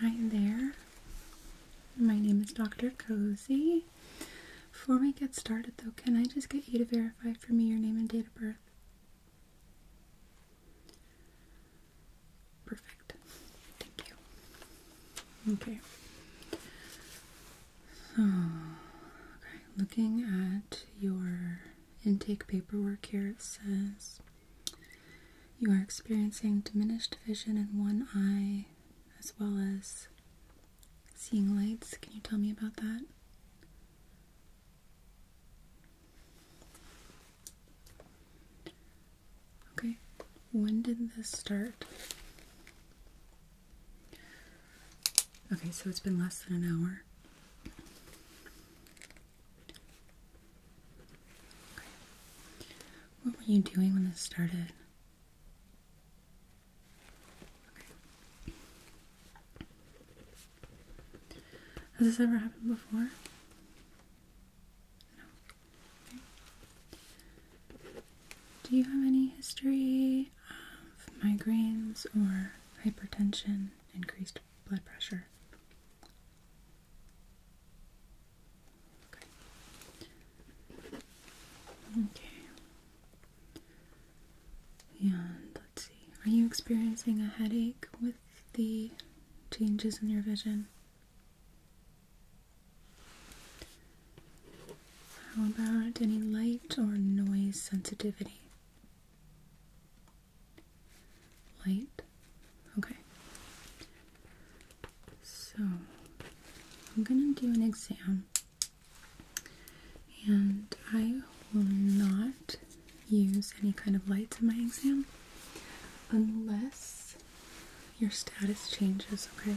Hi there. My name is Dr. Cozy. Before we get started, though, can I just get you to verify for me your name and date of birth? Perfect. Thank you. Okay. So, okay, looking at your intake paperwork here, it says you are experiencing diminished vision in one eye as well as seeing lights. Can you tell me about that? Okay, when did this start? Okay, so it's been less than an hour. What were you doing when this started? Has this ever happened before? No. Do you have any history of migraines or hypertension, increased blood pressure? Okay. Okay. And let's see, are you experiencing a headache with the changes in your vision? How about any light or noise sensitivity? Light? Okay. So, I'm going to do an exam. And I will not use any kind of lights in my exam unless your status changes, okay?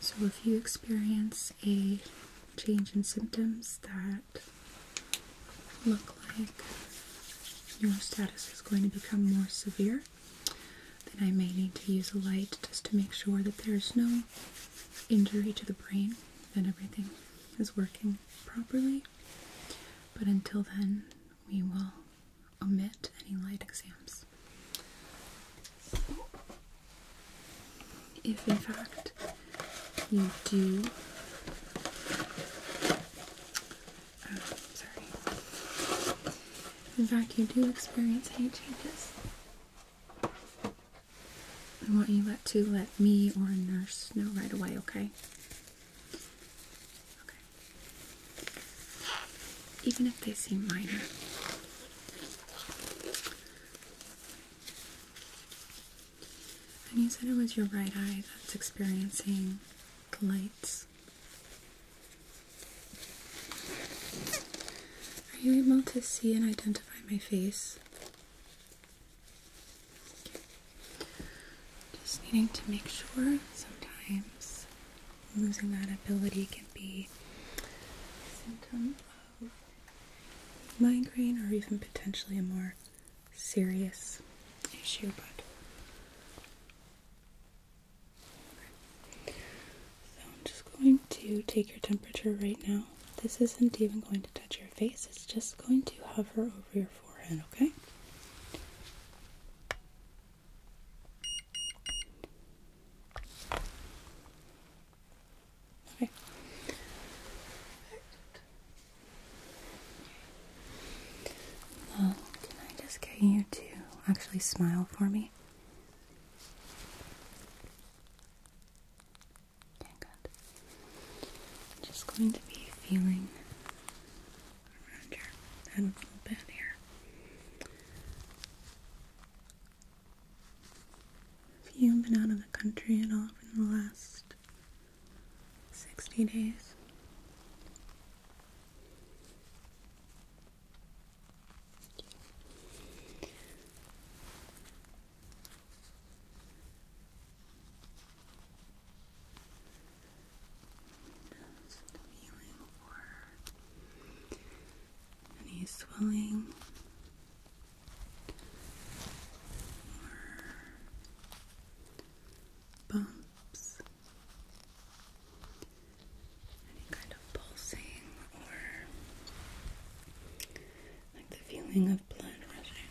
So if you experience a change in symptoms that look like your status is going to become more severe, then I may need to use a light just to make sure that there is no injury to the brain and everything is working properly. But until then, we will omit any light exams. If in fact you do, oh, sorry. If in fact you do experience any changes, I want you let, to let me or a nurse know right away, okay? Okay. Even if they seem minor. And you said it was your right eye that's experiencing the lights. Are you able to see and identify my face? Just needing to make sure sometimes losing that ability can be a symptom of migraine or even potentially a more serious issue, but so I'm just going to take your temperature right now. This isn't even going to touch your your face. It's just going to hover over your forehead, okay? Okay. can I just get you to actually smile for me? good. I'm just going to be feeling around your head a little bit here. Have you been out of the country at all in the last 60 days? Just feeling for any swelling or bumps, any kind of pulsing or like the feeling of blood rushing.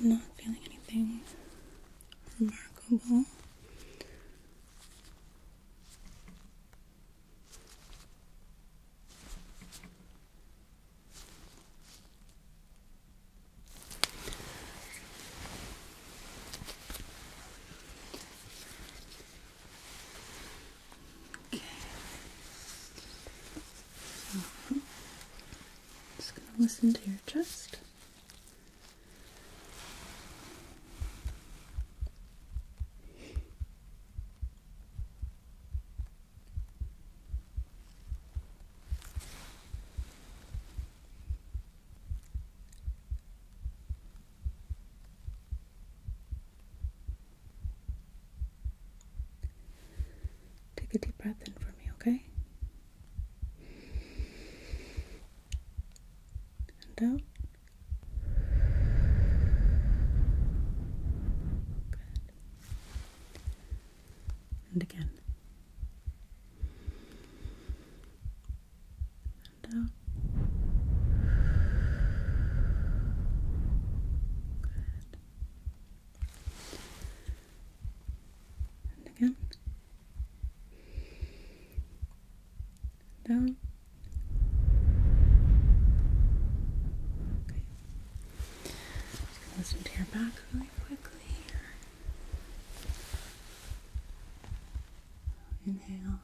I'm not feeling anything remarkable. Okay. So, just going to listen to your chest. Take a deep breath in for me, okay? And out. And again. And out. Good. And again down. Okay. Just gonna listen to your back really quickly. Inhale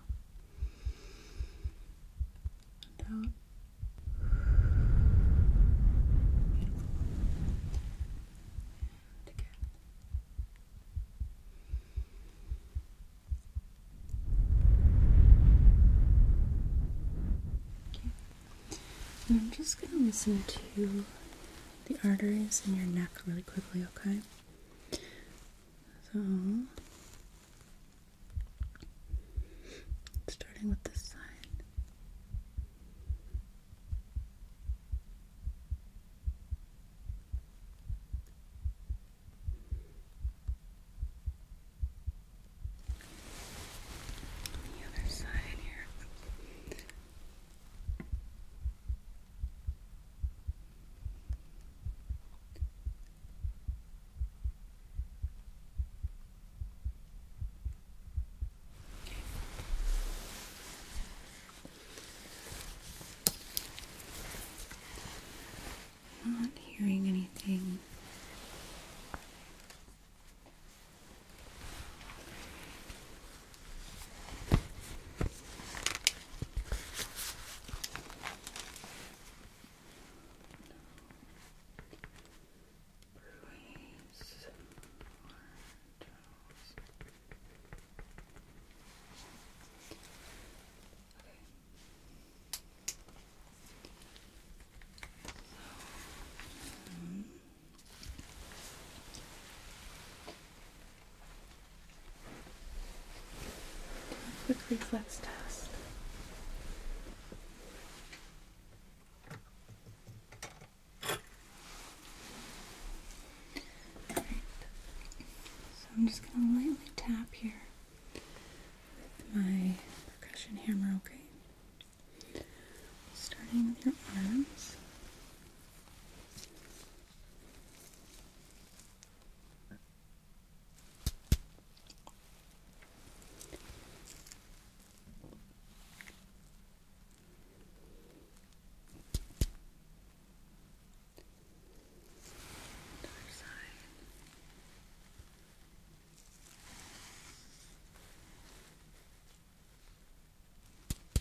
and out. Beautiful. And again. I'm just going to listen to the arteries in your neck really quickly, okay? So, starting with this side. On the other side here. I'm not hearing anything. Um, a quick reflex test. So I'm just going to lightly tap here with my percussion hammer, okay? Starting with your arms. Other side. Good.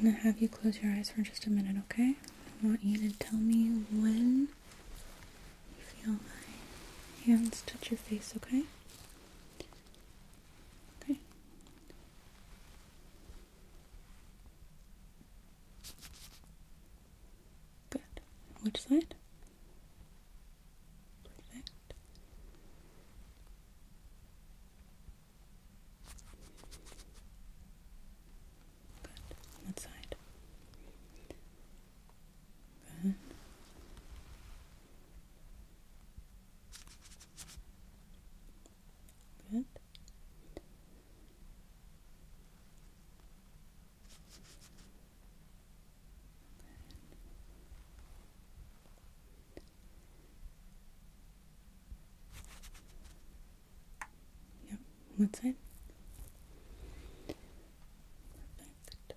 I'm going to have you close your eyes for just a minute, okay? I want you to tell me when you feel my hands touch your face, okay? Okay. Good. Which side? Perfect. Good. On side. Good. Good. Yeah, what side? Perfect. Good.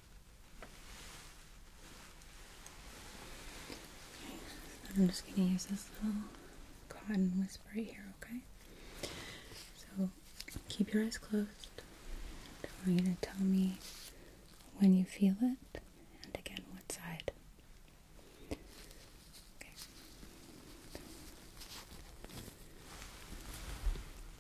I'm just going to use this little cotton wisp right here, okay? So keep your eyes closed. I want you to tell me when you feel it and again what side. Okay.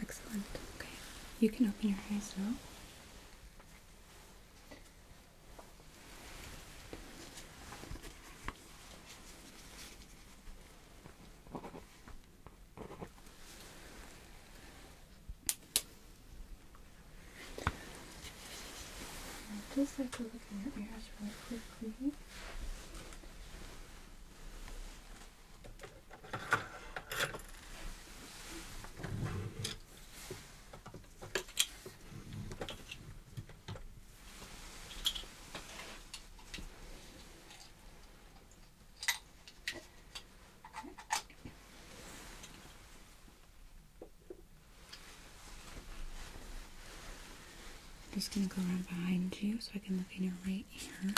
Excellent. Okay. You can open your eyes now. Just like a look in your ears really quickly. Okay. I'm just going to go around behind you so I can look in your right ear.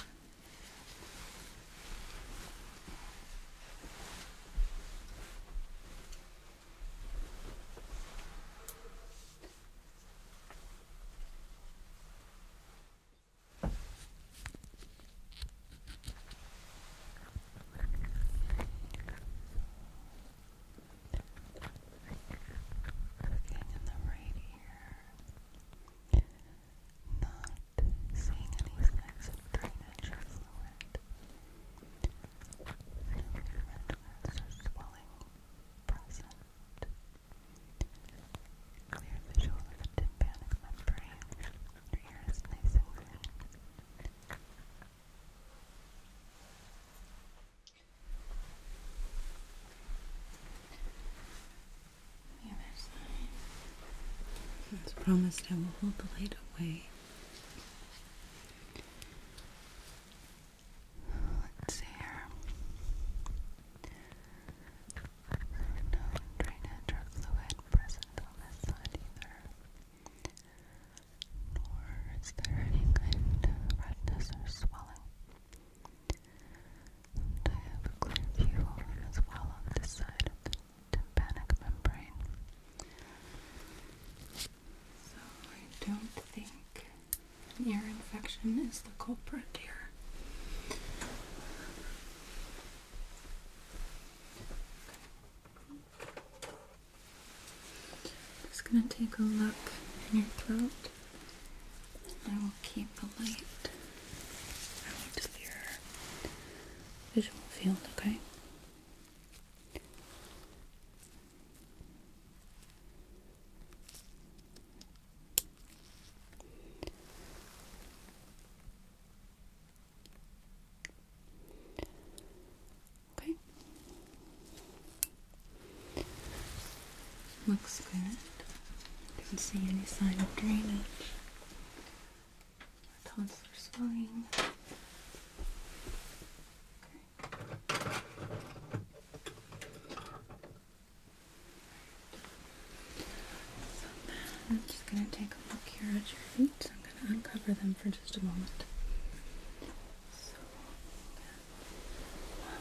Looking in the right ear. Not seeing any signs of drainage or fluid. No movement or swelling present. Clear visual of the tympanic membrane. Your ear is nice and clean. As promised, I will hold the light away. Let's see here. No drainage or fluid present on this side either nor is there any kind of redness or swelling. I have a clear view as well on this side tympanic membrane. So I don't think an ear infection is the culprit here. Just gonna take a look in your throat. I will keep the light out of your visual field, okay? Okay. Looks good. Didn't see any sign of drainage. Tonsillar swelling. Okay. just going to take a look here at your feet. I'm going to uncover them for just a moment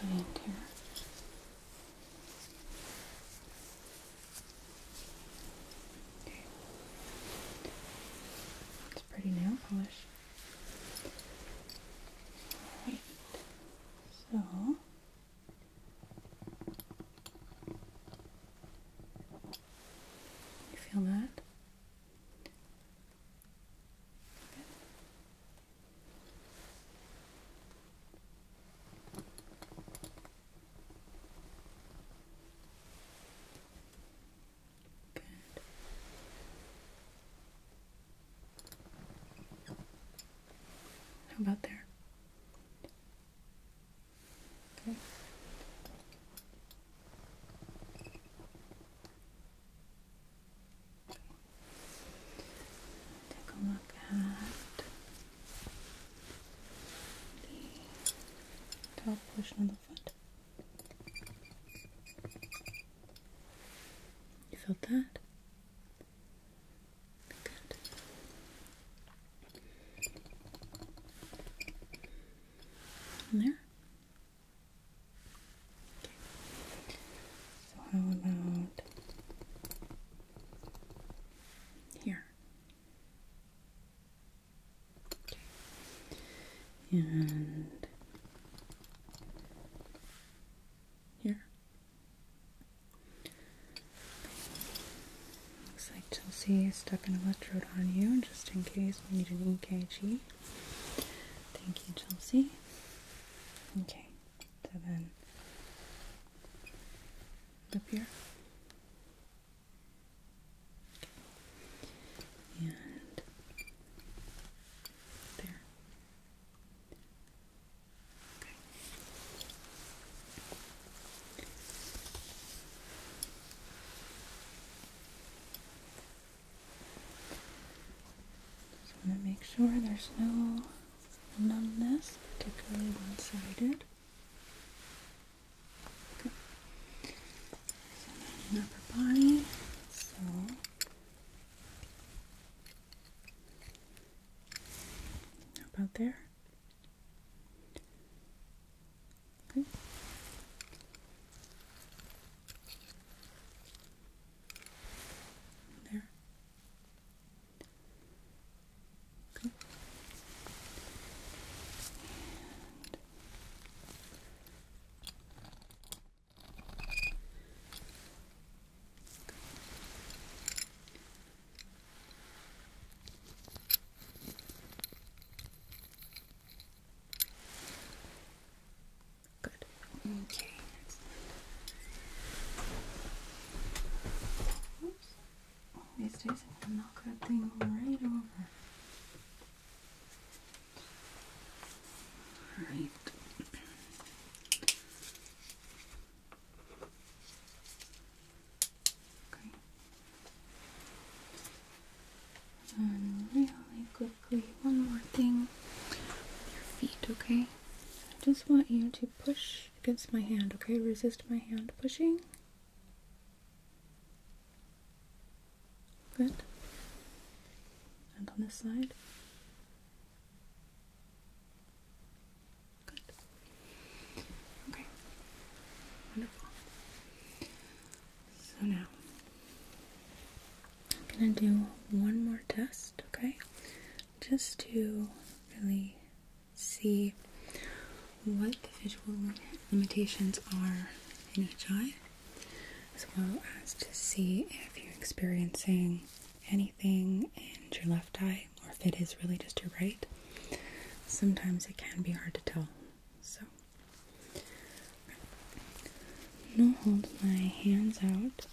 behind It's pretty nail polish. Alright. So you feel that? How about there? Okay. Take a look at the top portion of the foot. You felt that? Good. there. So how about here? Okay. And here. Looks like Chelsea stuck an electrode on you just in case we need an EKG. Thank you, Chelsea. Okay, so then up here. And there. Okay. Just want to make sure there's no numbness, particularly one-sided. Okay. body. So about there. Okay. There. Okay. And Good. Okay. Oops. These days I knock that right over. Right. Okay. really good one more thing your feet, okay? I just want you to push against my hand, okay? Resist my hand pushing. Good. And on this side. Good. Okay. Wonderful. So now I'm gonna do one more test, okay? Just to really see what visual limitations are in each eye, as well as to see if you're experiencing anything in your left eye or if it is really just your right. Sometimes it can be hard to tell. So no hold my hands out.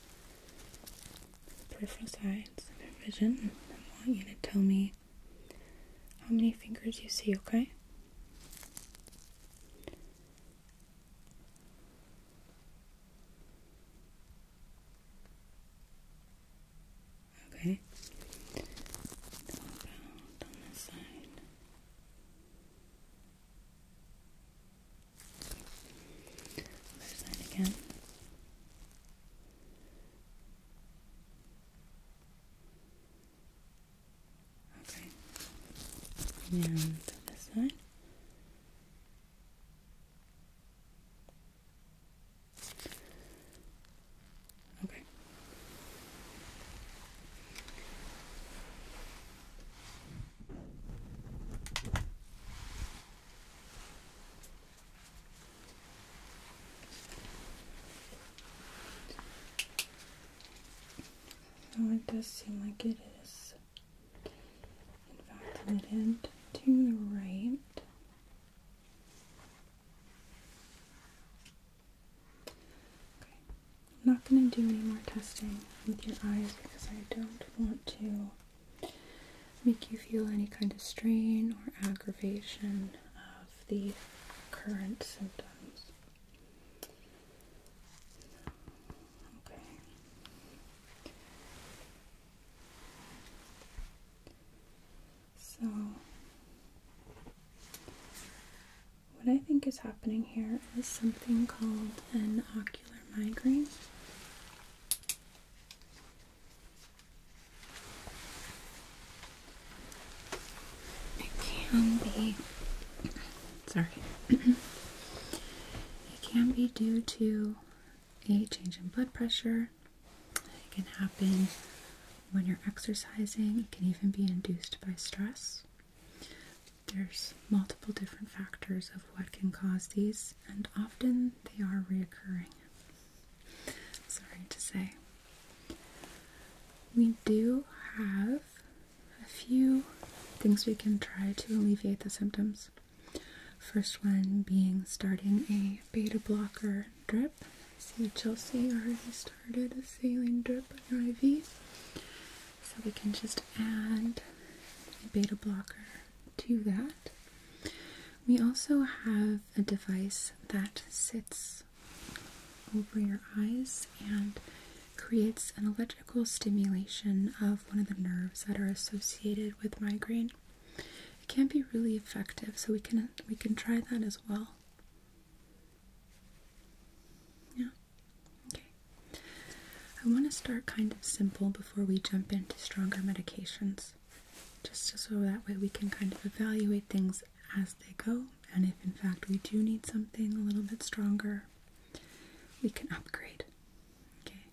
Peripheral sides of your vision. I want you to tell me how many fingers you see, okay? Okay. Other side again. Okay. And this side. Okay it does seem like it is, in to the right. Okay, I'm not going to do any more testing with your eyes because I don't want to make you feel any kind of strain or aggravation of the current symptoms. Okay. So what I think is happening here is something called an ocular migraine. It can be, sorry, it can be due to a change in blood pressure. It can happen when you're exercising, it can even be induced by stress. There's multiple different factors of what can cause these, and often they are reoccurring. Sorry to say. We do have a few things we can try to alleviate the symptoms. First one being starting a beta blocker drip. See Chelsea already started started a saline drip on your IV. So we can just add a beta blocker to that. We also have a device that sits over your eyes and creates an electrical stimulation of one of the nerves that are associated with migraine. It can be really effective, so we can we can try that as well. Yeah. Okay. I want to start kind of simple before we jump into stronger medications, just so that way we can kind of evaluate things as they go, and if in fact we do need something a little bit stronger, we can upgrade. Okay.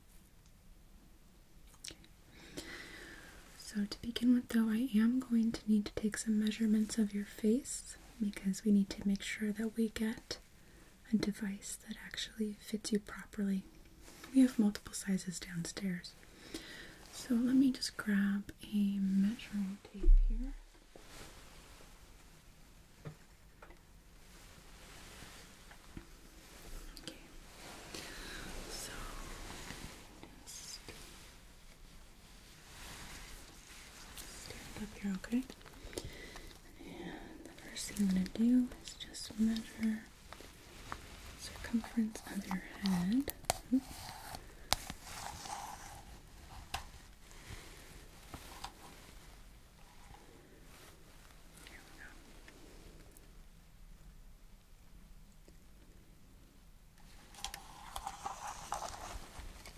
So, to begin with, though, I am going to need to take some measurements of your face because we need to make sure that we get a device that actually fits you properly. We have multiple sizes downstairs. So let me just grab a measuring tape here. Okay. So just up here, okay? And the first thing I'm going to do is just measure circumference of your head.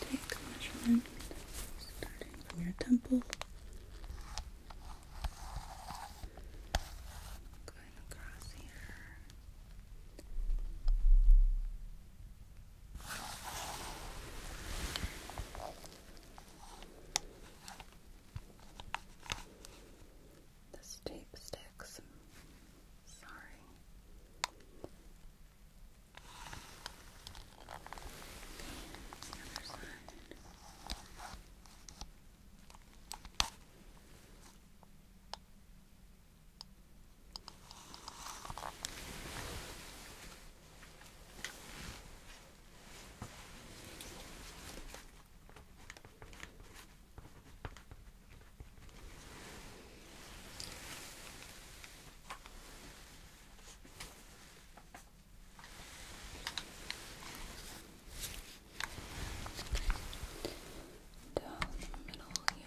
Take a measurement starting from your temple, going across here. This tape sticks. Sorry. The other side. Down the middle here.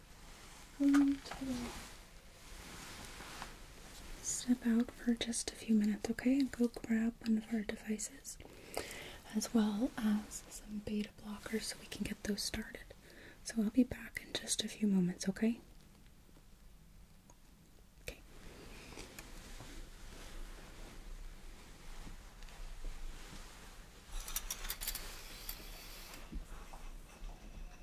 going to step out for just a few minutes, okay? And go grab one of our devices as well as some beta blockers so we can get those started. So I'll be back in just a few moments, okay? Okay.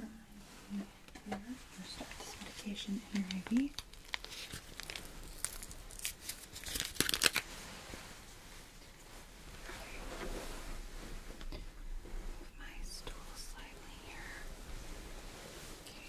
I'm going to start this medication in your IV. Okay. My stool slightly here. Okay.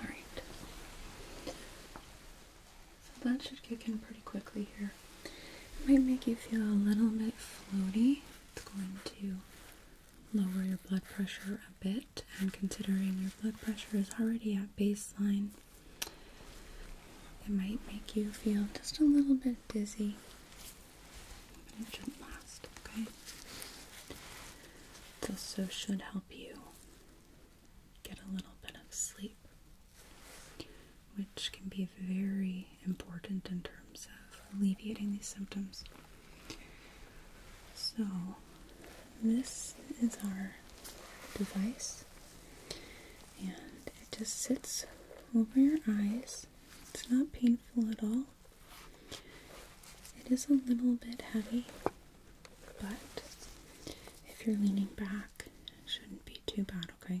All right. So that should kick in pretty quickly here. It might make you feel a little bit floaty it's going to lower your blood pressure a bit, and considering your blood pressure is already at baseline, it might make you feel just a little bit dizzy. But it shouldn't last, okay? It also should help you get a little bit of sleep which can be very important in terms of alleviating these symptoms. So, this is our device, and it just sits over your eyes. It's not painful at all. It is a little bit heavy, but if you're leaning back, it shouldn't be too bad, okay?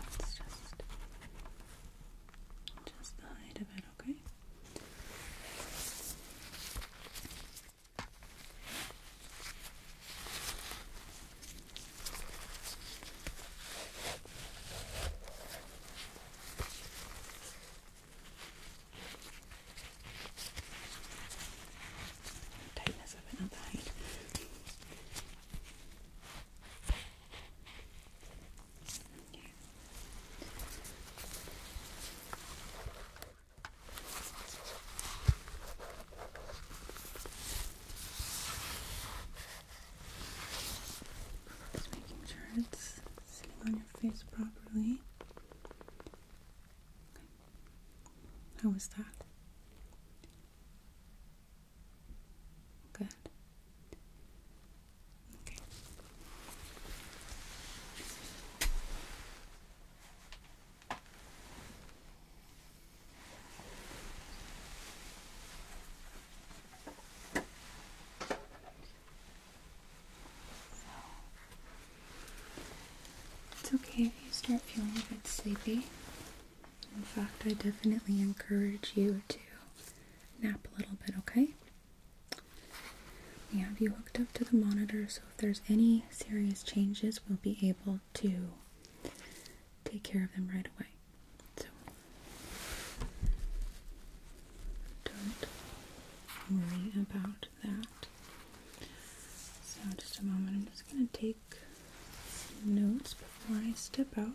Let's just just the height of it, Okay. Don't mess up another height. Okay. Okay. Just making sure it's sitting on your face properly. How was that? Good. Okay. It's okay if you start feeling a bit sleepy. In fact, I definitely encourage you to nap a little bit, okay? We have you hooked up to the monitor, so if there's any serious changes, we'll be able to take care of them right away. So don't worry about that. So just a moment, I'm just going to take notes before I step out.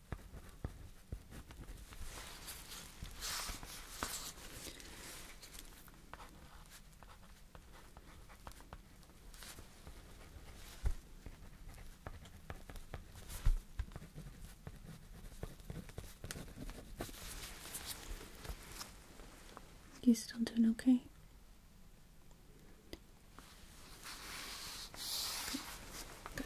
You still doing okay? Good.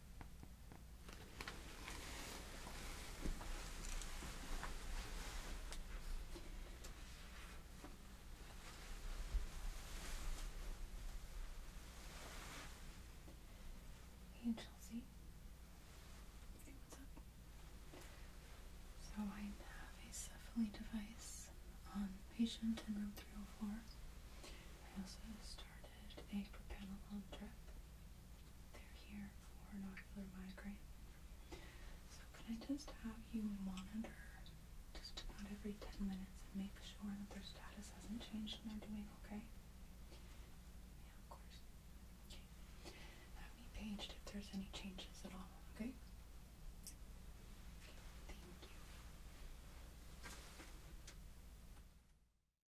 Hey Chelsea. Hey, what's up? So I have a cephaly device on patient in room 304. I also started a propanolol drip. They're here for an ocular migraine. So can I just have you monitor just about every 10 minutes and make sure that their status hasn't changed and they're doing okay? Yeah, of course. Okay. Have me paged if there's any changes at all, okay? Thank you.